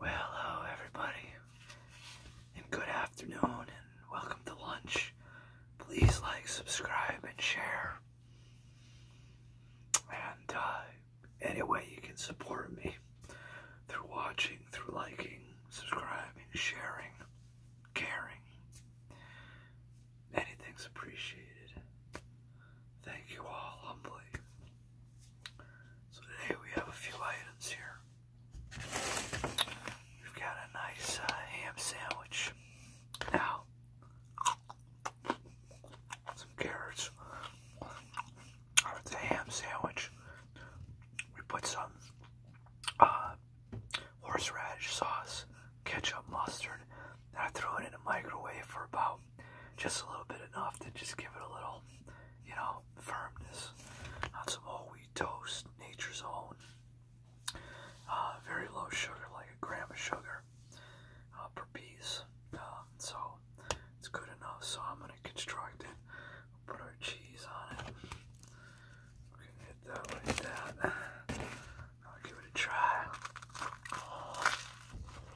Well, hello everybody, and good afternoon, and welcome to lunch. Please like, subscribe, and share. And uh, any way you can support me through watching, through liking, subscribing, sharing, caring. Anything's appreciated. Thank you all humbly. So today we have a few items here. We've got a nice uh, ham sandwich. Now, some carrots. It's a ham sandwich. We put some uh, horseradish sauce, ketchup, mustard, and I threw it in the microwave for about um, just a little bit enough to just give it a little, you know, firmness. Not some whole wheat toast, nature's own. Uh, very low sugar, like a gram of sugar uh, per piece. Um, so it's good enough. So I'm gonna construct it. Put our cheese on it. We're gonna hit that like that. I'll give it a try.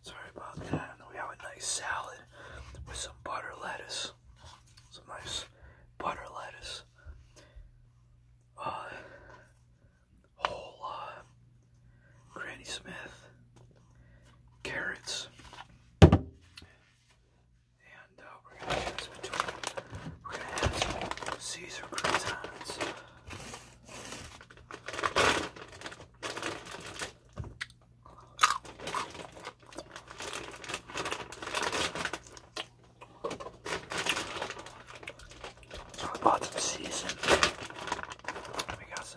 Sorry about that. We have a nice salad with some butter lettuce. Some nice butter lettuce. Uh, whole uh, Granny Smith, carrots, and uh, we're gonna choose Caesar croutons. So we season. We got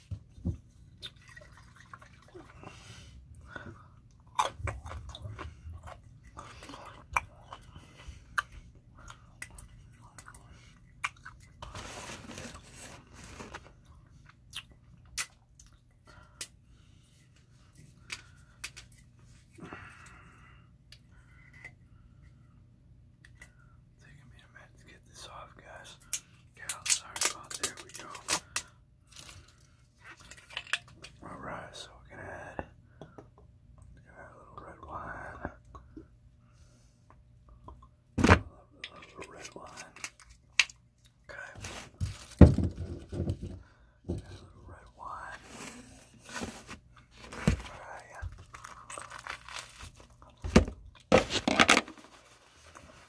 Taking me a minute to get this off, guys. Alright, oh, so we're gonna add, a little red wine. A little, red wine. Okay. a little red wine. Alright,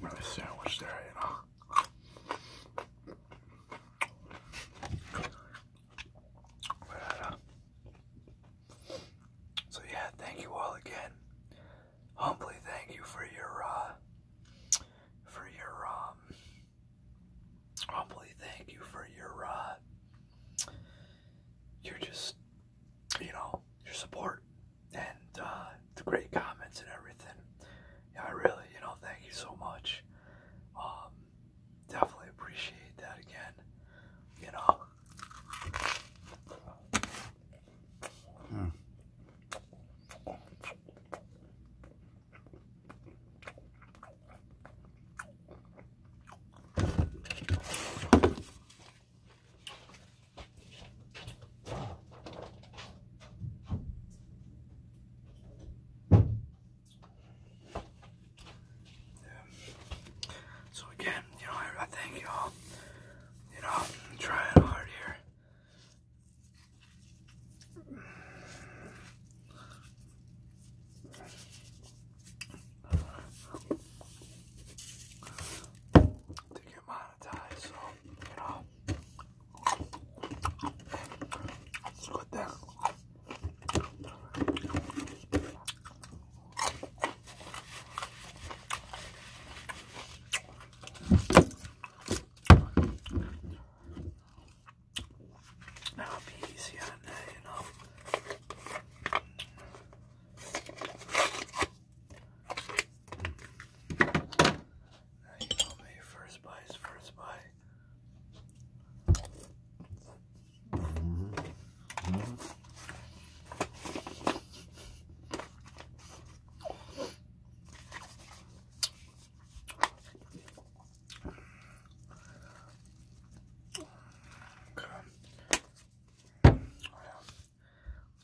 Another sandwich there, you know. so yeah, thank you all again. Humbly thank you for your uh, for your um, humbly thank you for your uh just you know, your support and uh, the great comments and everything. Yeah, I really, you know, thank you so much. Um, definitely appreciate that again. You know. Hmm. So again, you know, I, thank y'all. You know, I'm trying hard here. To get mine monetized, so you know That'll be easy on that, you know me, first buy first buy.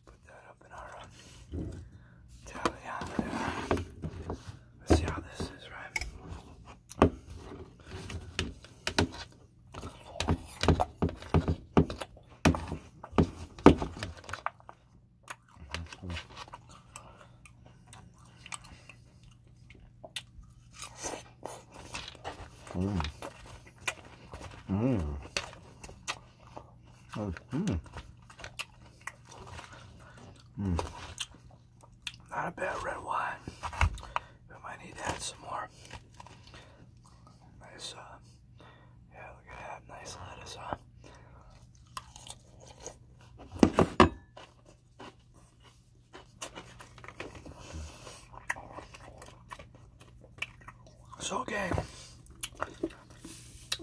Put that up in our uh, tally on there. Let's see how this is, right? Mmm. Mmm. Mm. Mm. Mm. Not a bad red wine. I might need to add some more. Nice, uh, yeah, look at that. Nice lettuce, huh? So, okay,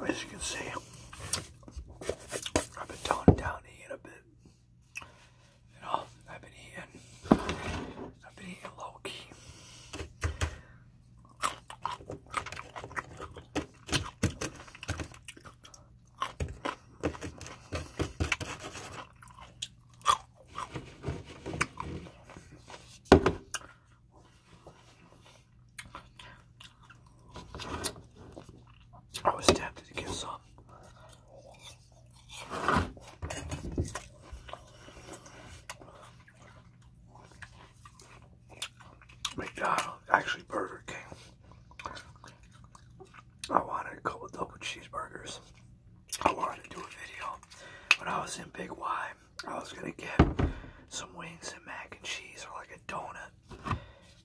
as you can see, I've been toning down eating a bit. You know, I've been eating, I've been eating low key. I was tempted to get some. McDonald's, actually Burger King. I wanted a couple double cheeseburgers. I wanted to do a video but I was in Big Y. I was gonna get some wings and mac and cheese or like a donut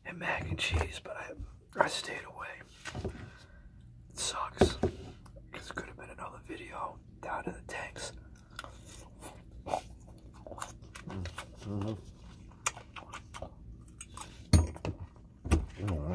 and mac and cheese, but I, I stayed away. It sucks. Because it could have been another video down in the tanks. Mm-hmm. Mm-hmm.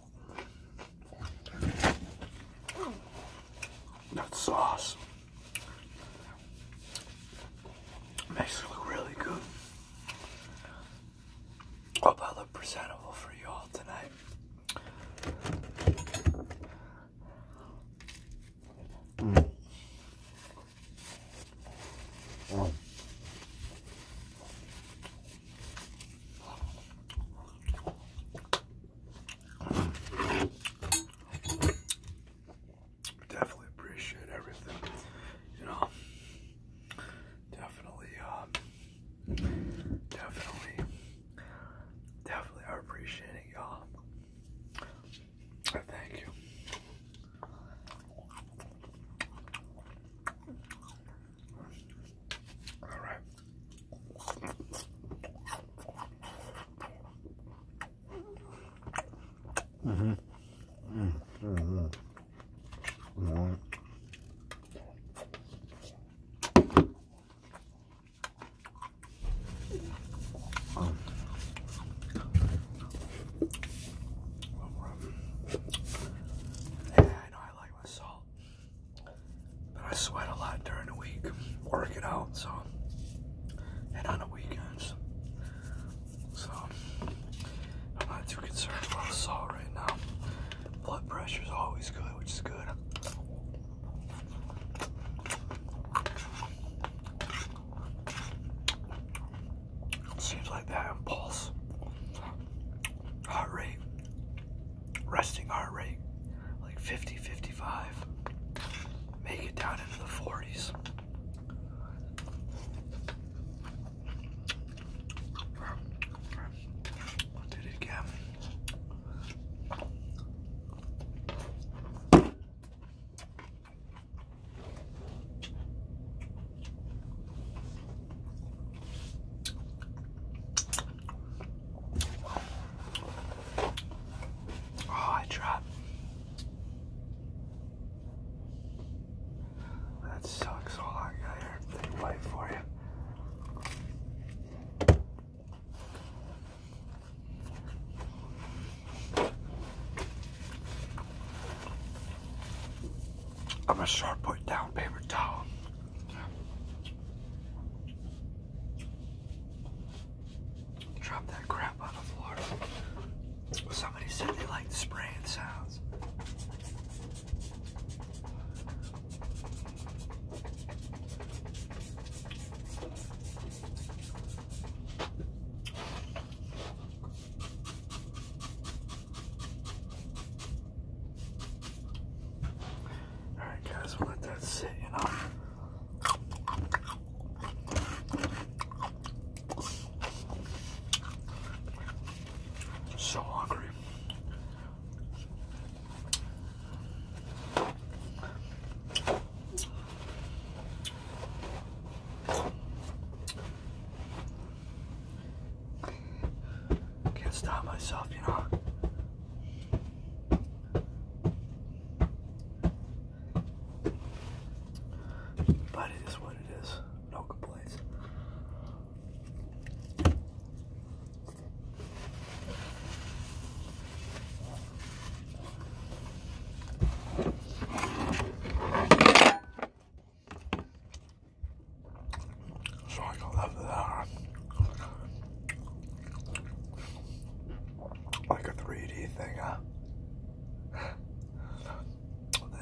That sauce makes it look really good. Hope I look presentable for you all tonight. Definitely appreciate everything, you know. Definitely, um, definitely, definitely I appreciate it, y'all. thank you. All right. Mm-hmm. -hmm. Mm Yeah, I like like salt. But I sweat a lot during the week, Work it out, so and on the weekends. So I'm not too concerned about salt right now. Blood pressure is always good, which is good. Seems like that pulse, heart rate, resting heart rate, like 50, 55, make it down into the 40s. Did it again. Oh, I dropped. That sucks. Hold I got everything white for you. I'm gonna start putting down paper towel. Drop that crap on the floor. Somebody said they liked spraying sounds. Alright guys, we'll let that sit and I'll so hungry. Can't stop myself, you know. But it is what it is. No complaints. So I got left that like a 3D thing, huh?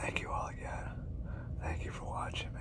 Thank you all again. Thank you for watching me.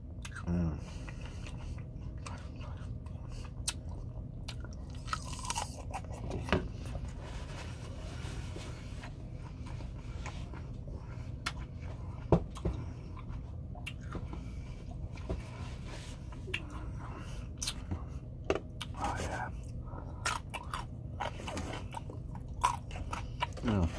Mm. Oh, yeah. Mm.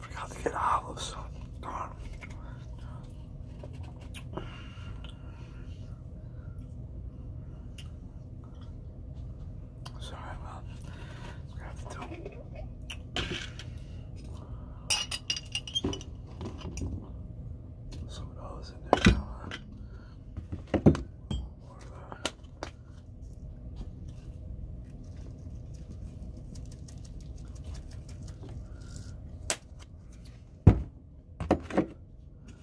Forgot to get olives. Sorry, well, I have to do some of those in there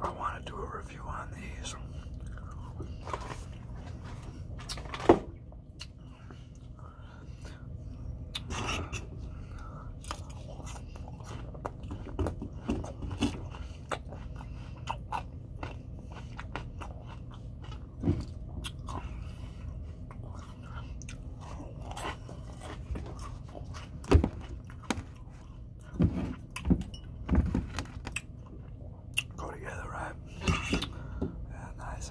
I want to do a review on these. Go together, right? Yeah, nice.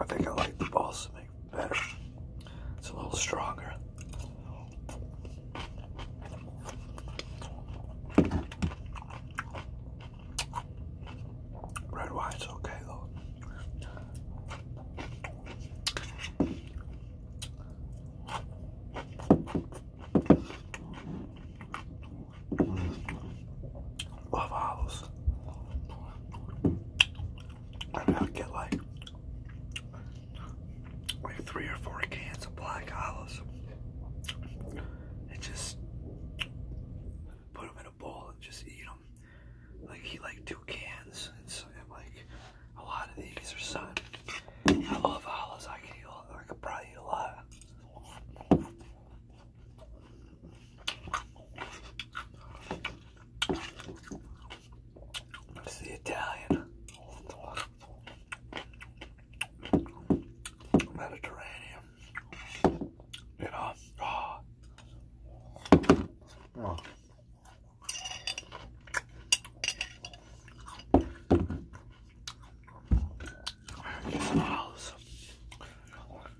I think I like the balsamic better. It's a little stronger. Red wine's okay though. Love olives. I'm gonna get like like three or four cans of black olives and just put them in a bowl and just eat them. Like eat like two cans and, so, and like a lot of these are sun. I love olives. I can eat a lot. It's the Italian, Mediterranean, you know. Ah. Oh.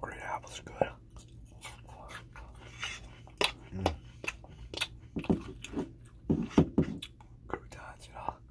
Great apples good. Mm. Croutons,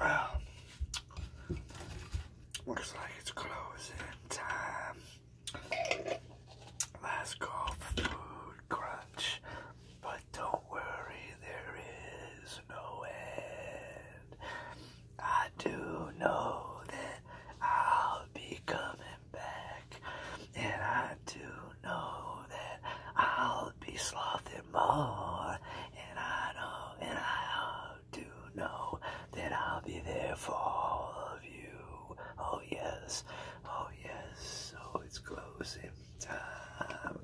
Well, looks like it's closing time. Last call food crunch. But don't worry, there is no end. I do know that I'll be coming back. And I do know that I'll be slothing more. And I know, and I know do know that I'll be there for all of you. Oh, yes. Oh, yes. Oh, it's closing time.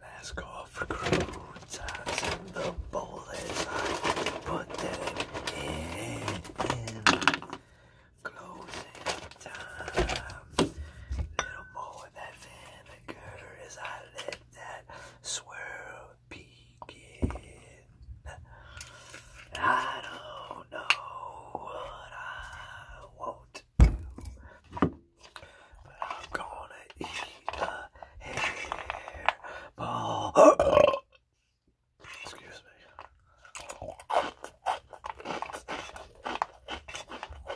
Last call for croutons the bowl as I put them in. Closing time. Little more of that van as I let that swirl begin. I don't know what I want to do, but I'm gonna eat a hairball. Excuse me.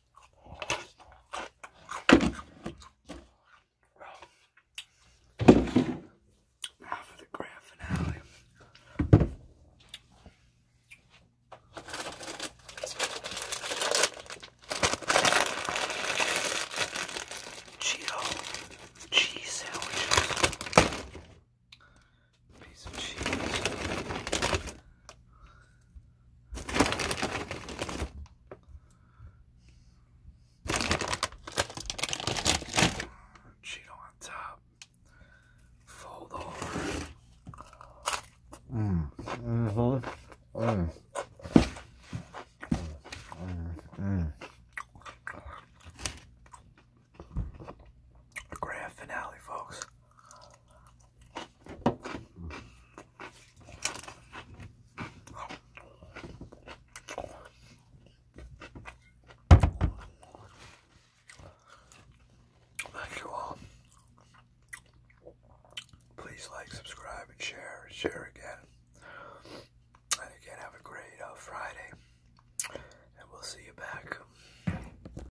Now for the grand finale. Cheeto cheese sandwiches piece of cheese. on top. Fold over. Mm. Mm-hmm. Mm -hmm. mm. grand finale, folks. Thank you all. Please like, subscribe, and share. Share again. And again, have a great uh, Friday. And we'll see you back